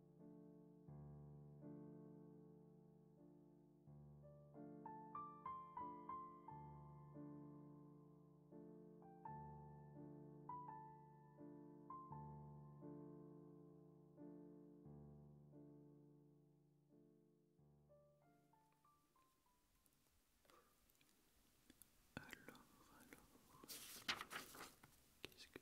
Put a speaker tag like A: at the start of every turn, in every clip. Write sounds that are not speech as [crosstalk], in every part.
A: Alors, alors, qu'est-ce que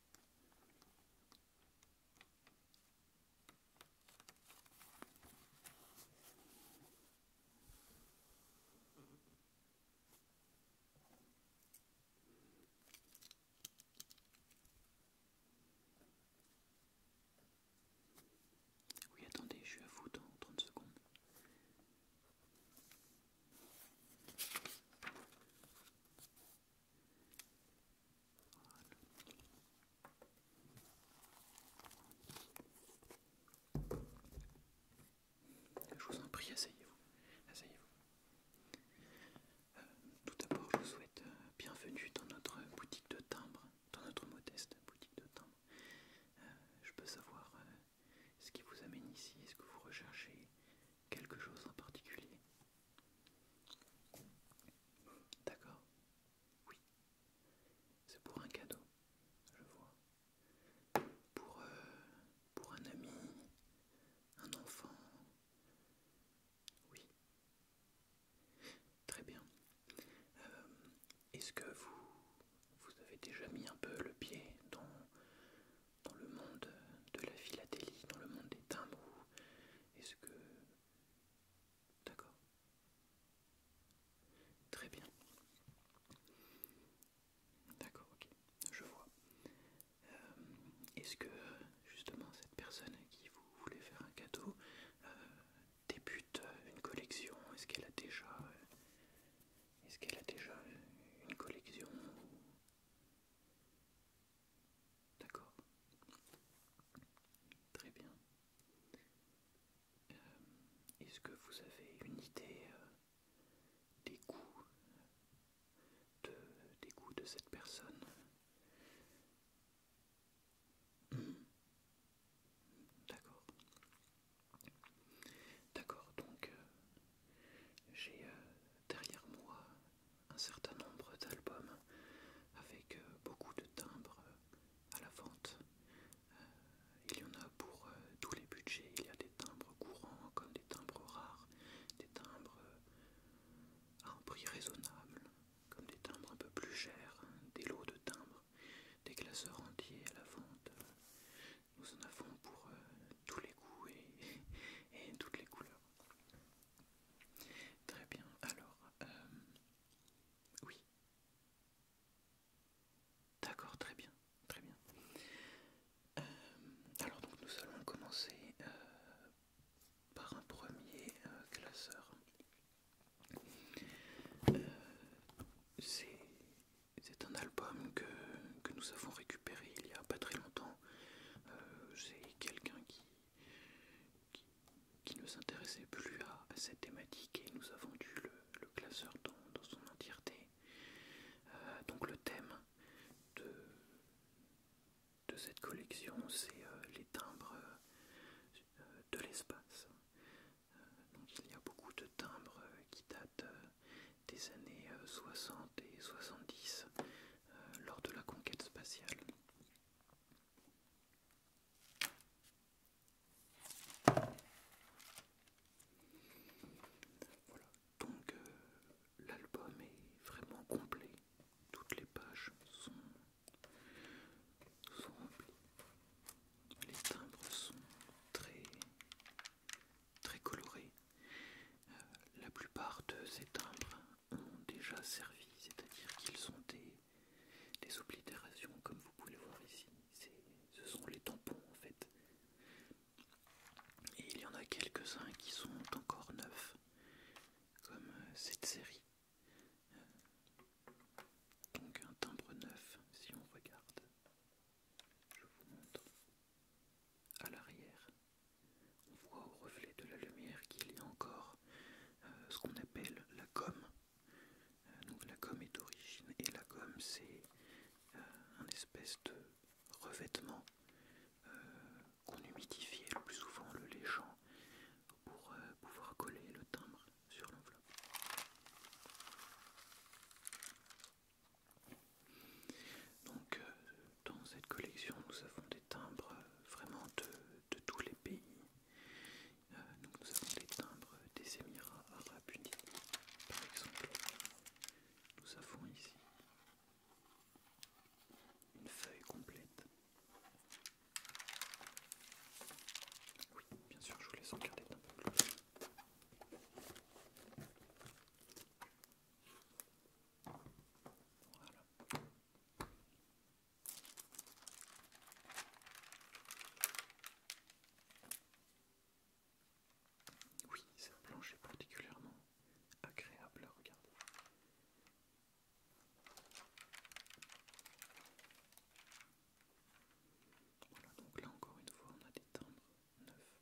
A: Oui, attendez, je suis à vous dans 30 secondes. Je vous en prie, asseyez-vous. Euh, tout d'abord, je vous souhaite euh, bienvenue dans notre boutique de timbres, dans notre modeste boutique de timbres. Euh, je peux savoir ce qui vous amène ici, est-ce que vous recherchez quelque chose en particulier D'accord Oui. C'est pour un cadeau, je vois. Pour, euh, pour un ami, un enfant. Oui. Très bien. Euh, est-ce que vous, vous avez déjà mis un peu le pied dans, dans le monde de la philatélie, dans le monde des timbres Est-ce que... D'accord. Très bien. D'accord, ok. Je vois. Euh, est-ce que justement cette personne à qui vous voulez faire un cadeau euh, débute une collection Est-ce qu'elle a déjà... Est-ce qu'elle a déjà une collection D'accord. Très bien. Euh, est-ce que vous avez une idée euh, des goûts euh, de, des goûts de cette personne D'accord. D'accord, donc j'ai euh, derrière moi un certain nombre d'albums avec euh, beaucoup de timbres euh, à la vente. Il y en a pour tous les budgets. Il y a des timbres courants comme des timbres rares, des timbres à un prix raisonnable, comme des timbres un peu plus chers, des lots de timbres, des classeurs entiers à la vente. Nous en avons pour tous les goûts et, [laughs] et toutes les couleurs. Très bien, alors, euh, oui. D'accord, très bien, très bien. Euh, alors nous allons commencer euh, par un premier classeur. C'est un album que, que nous avons récupéré il y a pas très longtemps euh, c'est quelqu'un qui, qui, ne s'intéressait plus à, cette thématique et nous avons dû le, classeur dans, son entièreté. Euh, donc le thème de, cette collection, c'est euh, les timbres de l'espace. donc il y a beaucoup de timbres qui datent des années 60 et 70. Euh, lors de la conquête spatiale. Voilà, donc euh, l'album est vraiment complet, toutes les pages sont, remplies, les timbres sont très, très colorés, euh, la plupart de ces timbres ont déjà servi, c'est-à-dire qu'ils sont des, des oblitérations, comme vous pouvez le voir ici. Ce sont les tampons en fait. Et il y en a quelques-uns qui sont encore neufs, comme euh, cette série. Euh, donc un timbre neuf, si on regarde. Je vous montre à l'arrière. On voit au reflet de la lumière qu'il y a encore euh, ce qu'on appelle la gomme. Euh, la gomme est d'origine et la gomme c'est euh, un espèce de revêtement qu'on humidifiait le plus souvent le léchant pour pouvoir coller le timbre sur l'enveloppe. Donc dans cette collection nous avons timbres vraiment de, tous les pays. Euh, nous avons des timbres des Émirats Arabes Unis, par exemple. Nous avons ici une feuille complète. Oui, bien sûr, je vous laisse regarder un peu plus. Oui, cette planche est particulièrement agréable à regarder. Voilà, donc là encore une fois, on a des tendres neufs.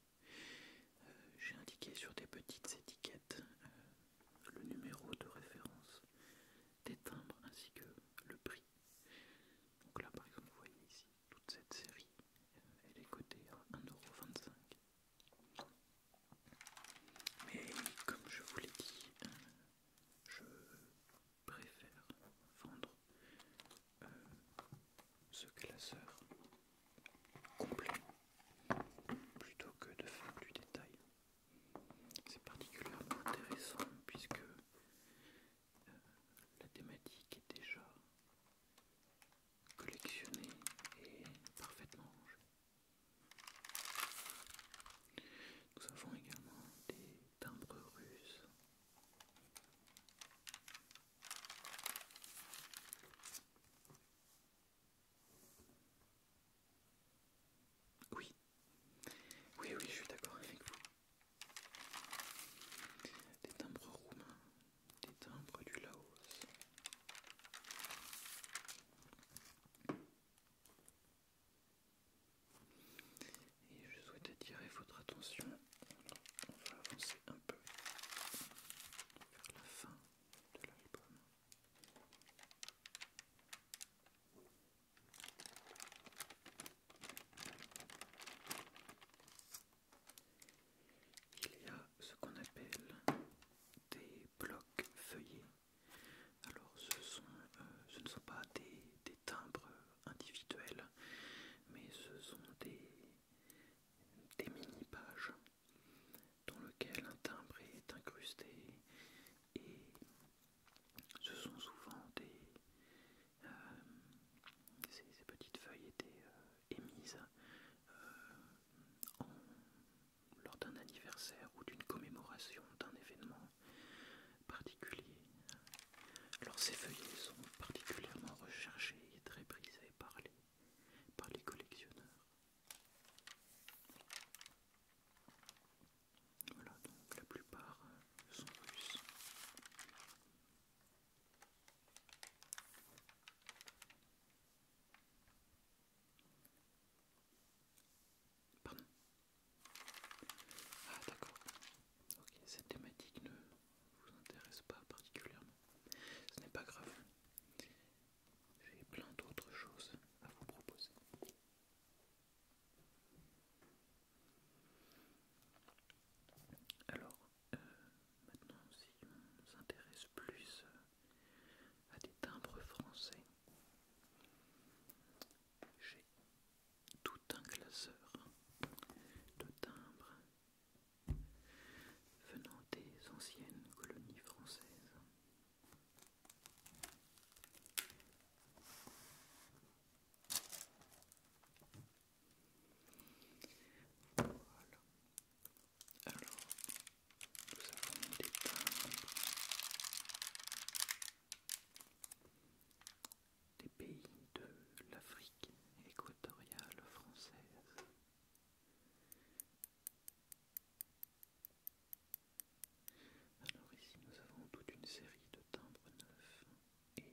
A: Euh, j'ai indiqué sur des petites étiquettes euh, le numéro de référence des timbres ainsi que le prix. Donc là par exemple vous voyez ici toute cette série, euh, elle est cotée à 1,25€. Mais comme je vous l'ai dit, euh, je préfère vendre euh, ce classeur complet plutôt que de faire du détail. C'est particulièrement intéressant puisque euh, la thématique est déjà collectionnée et parfaitement rangée. Nous avons également des timbres russes. Oui, oui, oui, je suis d'accord avec vous. Des timbres roumains, des timbres du Laos. Et je souhaite attirer votre attention. On va avancer un peu vers la fin de l'album. Il y a ce qu'on appelle des blocs feuillets. Alors ce, sont, euh, ce ne sont pas des, timbres individuels, mais ce sont des mini-pages dans lequel un timbre est incrusté et ce sont souvent des euh, ces, petites feuilles étaient euh, émises euh, lors d'un anniversaire ou d'une commémoration d'un événement particulier. Alors ces feuillets sont particulièrement recherchés et très prisés par les collectionneurs. Voilà, donc la plupart euh, sont russes. Pardon Ah d'accord. Ok, cette thématique ne vous intéresse pas particulièrement. Ce n'est pas grave j'ai plein d'autres choses à vous proposer. Alors, euh, maintenant, si on s'intéresse plus euh, à des timbres français, j'ai tout un classeur de timbres venant des anciennes colonies françaises. Alors, nous avons des des pays de l'Afrique équatoriale française. Alors ici nous avons toute une série de timbres neufs et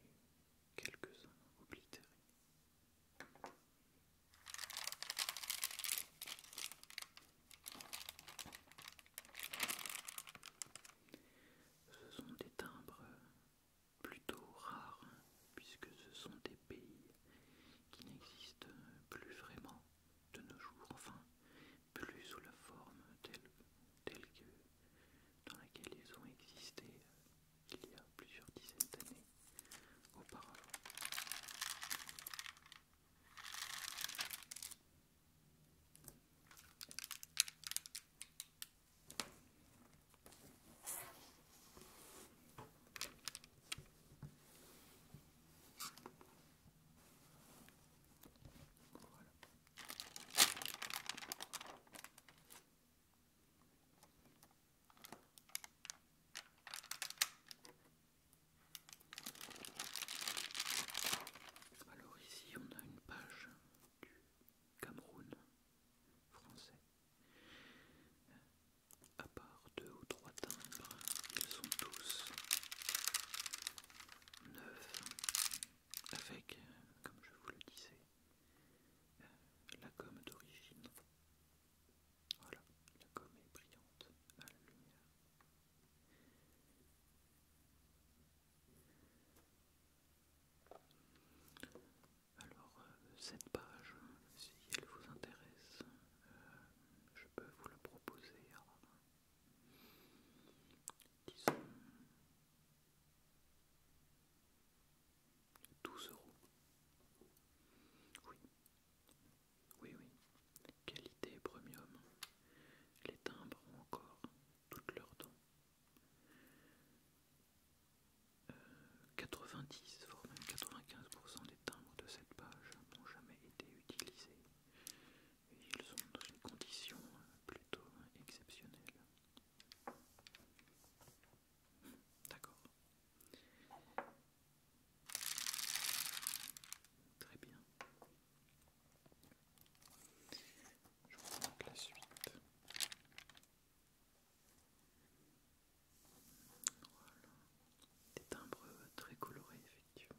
A: quelques-uns oblitérés. Ce sont des timbres plutôt rares puisque ce sont des pays qui n'existent plus vraiment de nos jours, enfin, plus sous la forme telle, que dans laquelle ils ont existé euh, il y a plusieurs dizaines d'années auparavant. Alors ici on a une page du Cameroun français à part deux ou trois timbres, ils sont tous neufs avec, comme je vous le disais, euh, la gomme d'origine. Voilà, la gomme est brillante à la lumière. Alors, euh, cette page, si elle vous intéresse, euh, je peux vous le proposer à, 12 euros. Oui, oui, oui. Qualité premium. Les timbres ont encore toutes leurs dents. 90, euh, voire même 95% les timbres de cette page n'ont jamais été utilisés et ils sont dans une condition euh, plutôt exceptionnelle. D'accord. Très bien. Je vous montre la suite. Voilà. Des timbres euh, très colorés effectivement.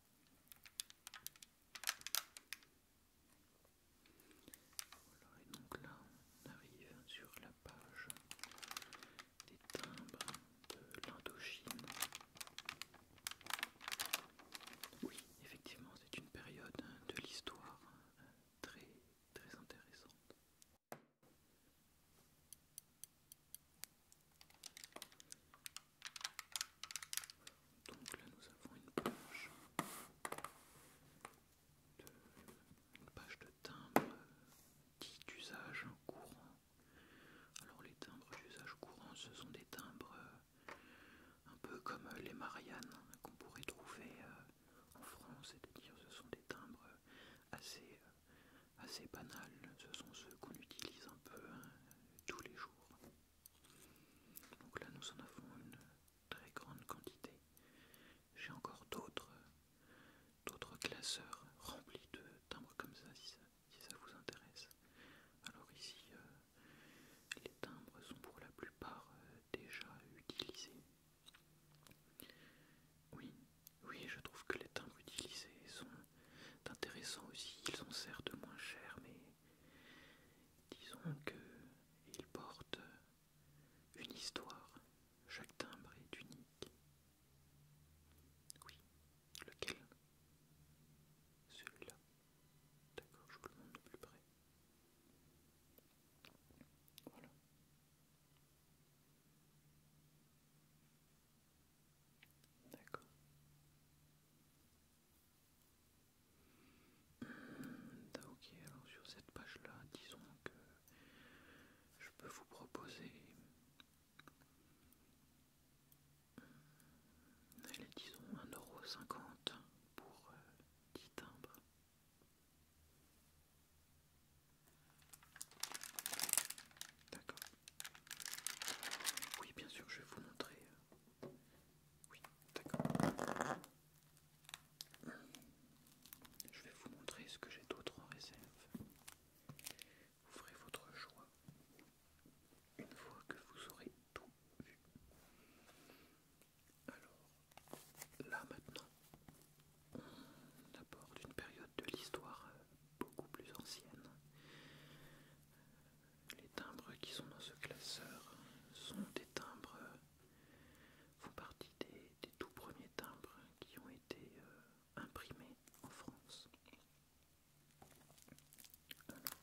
A: et donc là, on arrive sur la page des timbres de l'Indochine. Oui, effectivement, c'est une période hein, de l'histoire hein, très, très intéressante. Donc là nous avons une page de timbres dits d'usage courant. Alors les timbres d'usage courant ce sont des timbres euh, un peu comme euh, les Mariannes hein, qu'on pourrait trouver euh, en France, c'est-à-dire ce sont des timbres assez, assez banals, ce sont ceux qu'on utilise un peu hein, tous les jours. Donc là, nous en avons une très grande quantité. J'ai encore d'autres d'autres classeurs remplis de timbres comme ça si, ça, vous intéresse. Alors ici, euh, les timbres sont pour la plupart euh, déjà utilisés. Oui, oui, je trouve que les timbres utilisés sont d'intéressant aussi. Ils sont certes moins chers, mais disons qu'ils portent une histoire. Chaque timbre est unique. Oui, lequel Celui-là. D'accord, je vous le montre de plus près. Voilà. D'accord. Bah, ok, alors sur cette page-là, disons que je peux vous proposer... Allez, disons 1,50€ pour 10 euh, timbres. D'accord. Oui, bien sûr, je vais vous montrer euh, oui, d'accord. Je vais vous montrer ce que j'ai d'autre en réserve. ferez votre choix une fois que vous aurez tout vu. Alors, là maintenant, d'abord aborde une période de l'histoire euh, beaucoup plus ancienne. Les timbres qui sont dans ce classeur sont des timbres, euh, font partie des, tout premiers timbres qui ont été euh, imprimés en France. Alors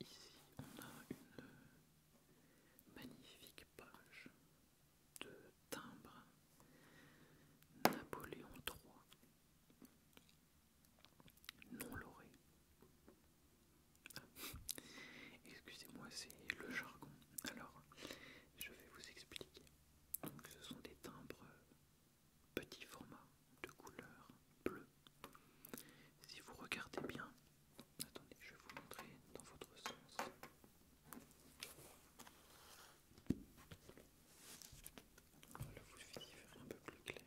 A: ici on a une magnifique page de timbre Napoléon III non lauré. Ah. Excusez-moi, c'est le jargon. Alors, je vais vous expliquer. ce sont des timbres petit format de couleur bleue. Si vous regardez bien, Attendez, je vais vous montrer dans votre sens. Voilà, vous un peu plus clair.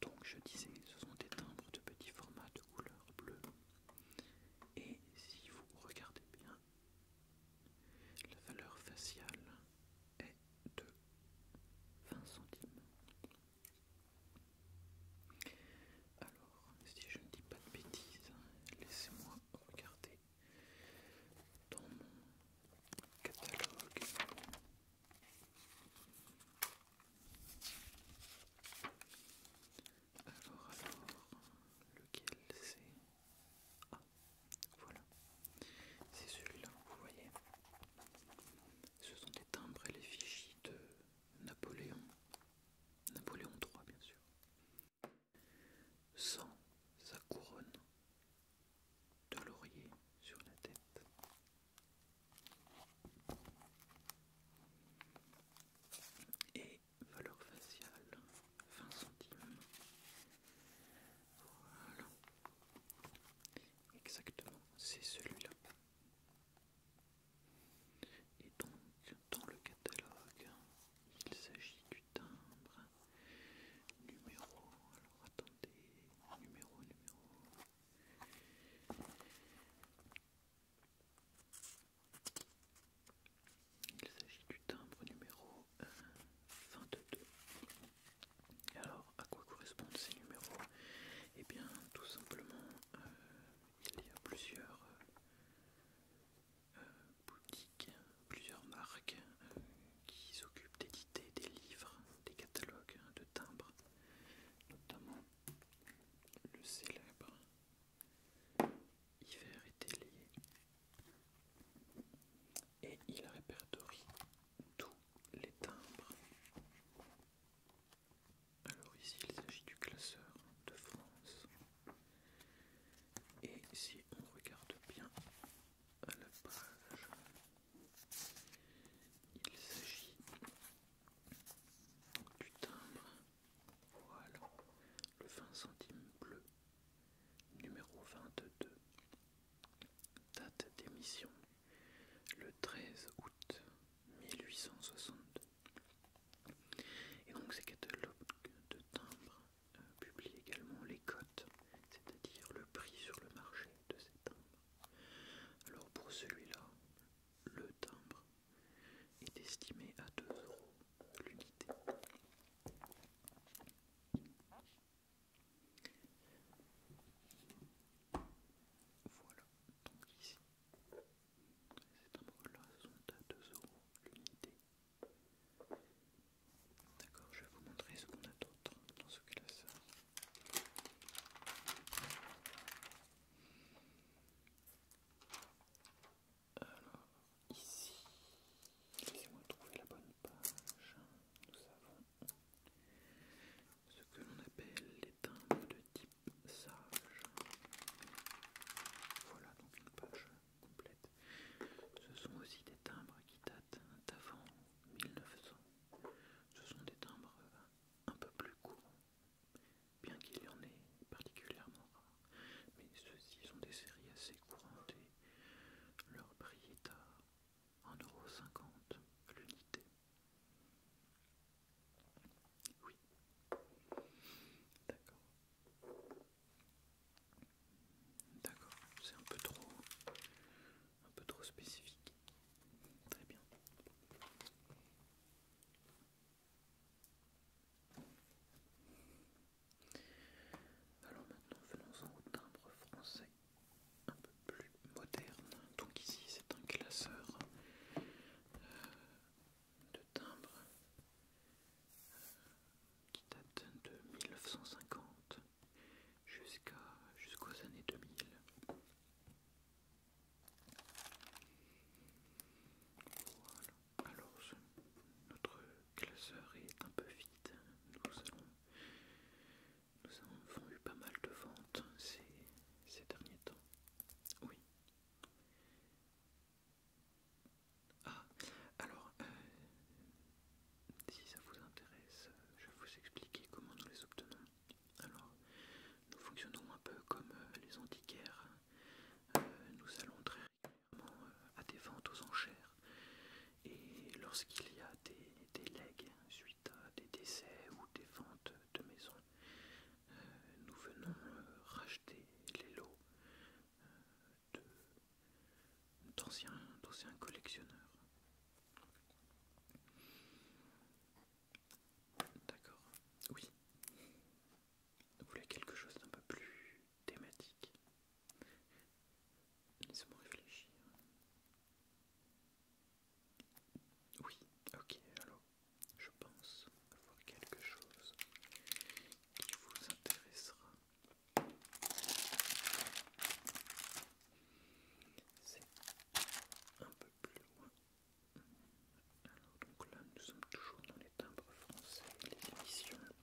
A: Donc je disais, ce sont des timbres de petit format de couleur bleue. Et si vous regardez bien, la valeur faciale est de 20 centimes. Alors, si je ne dis pas de bêtises, laissez-moi regarder dans mon catalogue. Alors, alors, lequel c'est Ah, voilà. C'est celui-là, vous voyez. Ce sont des timbres et les fichiers de Napoléon Napoléon III, bien sûr. Sans sa couronne de laurier sur la tête. Et valeur faciale 20 centimes. Voilà. Exactement, c'est celui-là. Et donc, dans le catalogue, il s'agit du timbre numéro. Alors attendez, numéro, numéro. Il s'agit du timbre numéro 22. Euh, alors, à quoi correspondent ces numéros Eh bien, tout simplement euh, il y a plusieurs euh, euh, boutiques, plusieurs marques euh, qui s'occupent d'éditer des livres, des catalogues de timbres, notamment le célèbre Hiver et télé. Et il répertorie tous les timbres alors ici il s'agit du classeur de France. Et si on regarde bien à la page, il s'agit du timbre. Voilà, le 20 centimes bleu, numéro 22. Date d'émission, le 13 août 1862. Et donc ces catalogues de timbres euh, publient également les cotes, c'est-à-dire le prix sur le marché de ces timbres. Alors pour celui-là, le timbre est estimé à 2 euros l'unité. Voilà, donc ici, ces timbres-là sont à 2 euros l'unité. D'accord, je vais vous montrer ce qu'on a d'autre dans ce classeur. Alors, ici, laissez-moi trouver la bonne page. Nous avons ce que l'on appelle les timbres de type sage. Voilà donc une page complète. Ce sont aussi des timbres qui datent d'avant 1900. Ce sont des timbres un peu plus courts, bien qu'il y en ait particulièrement rare. Mais ceux-ci sont des séries assez courantes leur prix est à 1,50€ l'unité. Oui. D'accord. D'accord, c'est un peu trop un peu trop spécifique. Très bien. Alors maintenant venons-en au timbre français un peu plus moderne. Donc ici c'est un classeur euh, de timbres euh, qui datent de 1950 jusqu'à jusqu'aux années 2000. Voilà. Alors notre classeur est un peu vide. Nous allons nous avons eu pas mal de ventes ces, ces derniers temps. Oui. Ah, alors, euh, si ça vous intéresse, je vais vous expliquer comment nous les obtenons. Alors, nous fonctionnons un peu comme euh, les antiquaires. Euh, nous allons très régulièrement à des ventes aux enchères. Et lorsqu'il y a des, des legs suite à des décès ou des ventes de maisons nous venons euh, racheter les lots euh, d'anciens collectionneurs. D'accord, oui. Vous voulez quelque chose d'un peu plus thématique Laissez-moi réfléchir. Oui, ok, alors je pense avoir quelque chose qui vous intéressera. C'est un peu plus loin. Alors donc là nous sommes toujours dans les timbres français, les émissions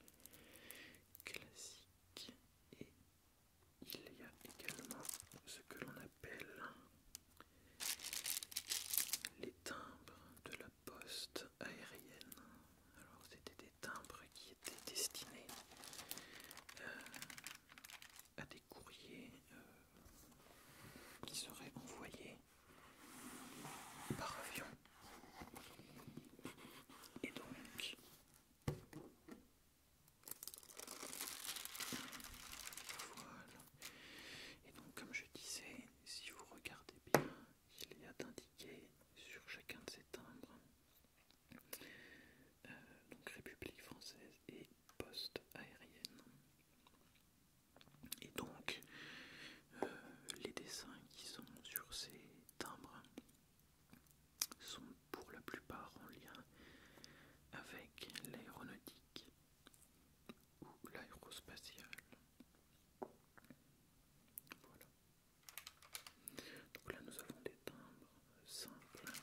A: classiques et il y a également ce que l'on appelle les timbres de la poste aérienne. Alors c'était des timbres qui étaient destinés euh, à des courriers euh, qui seraient envoyés par avion. Et donc voilà. Et donc comme je disais, si vous regardez bien, il y a d'indiquer sur chacun de ces timbres euh, donc République française et poste aérienne. Et donc euh, les dessins qui sont sur ces timbres sont pour la plupart en lien avec l'aéronautique ou l'aérospatiale. Voilà. Donc là nous avons des timbres simples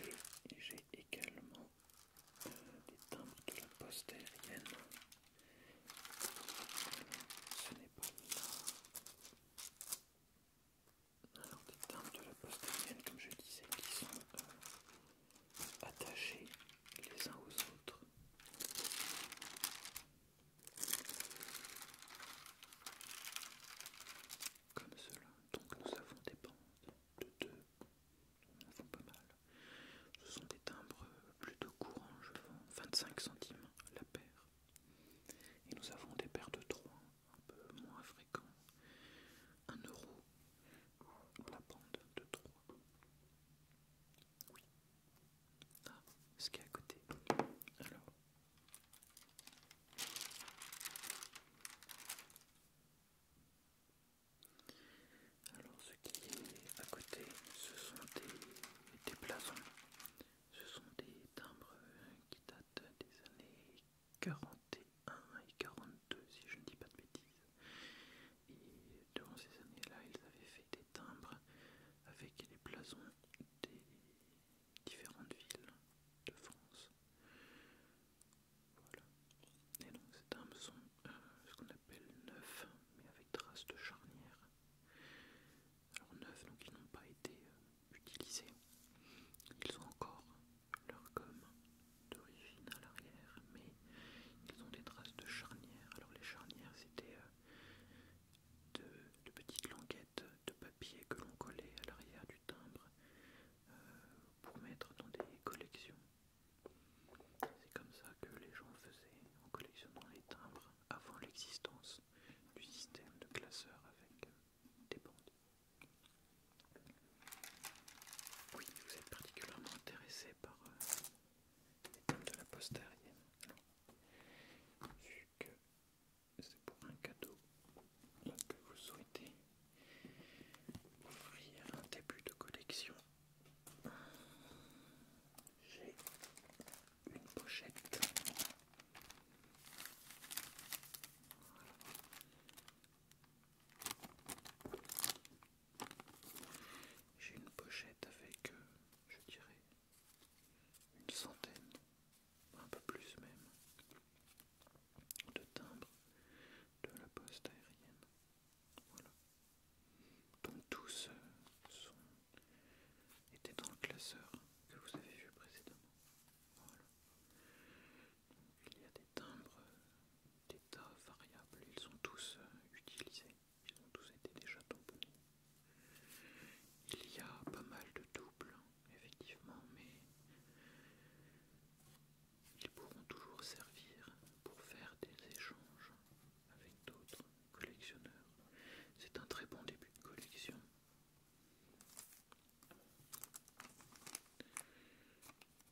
A: et j'ai également euh, des timbres de la poste aérienne. Ce n'est pas là. Alors des timbres de la poste aérienne comme je disais qui sont euh, attachés les uns aux autres. Comme cela. Donc nous avons des bandes de 2 pas mal. Ce sont des timbres plutôt courants, je vends 25 centimes la paire. Et nous avons des paires de 3, un peu moins fréquents. 1 euro la bande de 3. Ah, ce qui est à côté. Alors. ce qui est à côté, ce sont des, des blasons. Ce sont des timbres qui datent des années 41 et 42 si je ne dis pas de bêtises. Et durant ces années-là, ils avaient fait des timbres, avec les blasons des différentes villes de France. Voilà. Et donc ces timbres sont euh, ce qu'on appelle neufs, mais avec traces de charnière. Alors neufs, donc ils n'ont pas été euh, utilisés. Ils ont encore leur gomme d'origine à l'arrière, mais ils ont des traces de charnières. Alors les charnières c'était euh, de, petites languettes de papier que l'on collait à l'arrière du timbre euh, pour mettre dans des collections. C'est comme ça que les gens faisaient en collectionnant les timbres avant l'existence du système de classeurs avec euh, des bandes. Oui, vous êtes particulièrement intéressé par de la poste Vu que c'est pour un cadeau que vous souhaitez offrir un début de collection, j'ai une pochette. J'ai une pochette avec, euh, je dirais, une centaine, un peu plus même, de timbres de la poste aérienne. Voilà. Donc tous euh, sont, étaient dans le classeur que vous avez vu précédemment. Voilà. il y a des timbres euh, d'état variables, ils sont tous utilisés ils ont tous été déjà tamponnés. Il y a pas mal de doubles, effectivement, mais ils pourront toujours servir pour faire des échanges avec d'autres collectionneurs. C'est un très bon début de collection.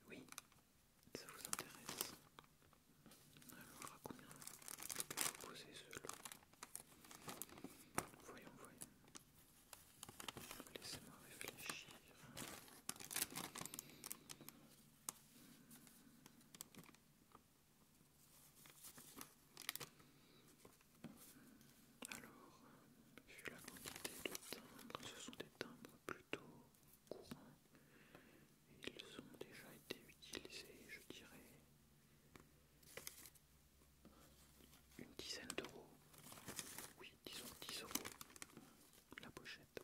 A: Oui, ça vous intéresse. Alors à combien je peux proposer cela Voyons, voyons. Laissez-moi réfléchir. Alors, vu la quantité de timbres, ce sont des timbres plutôt courant. Ils ont déjà été utilisés, je dirais, une dizaine d'euros. Oui, disons 10 euros la pochette.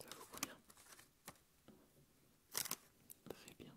A: Ça vaut combien Très bien.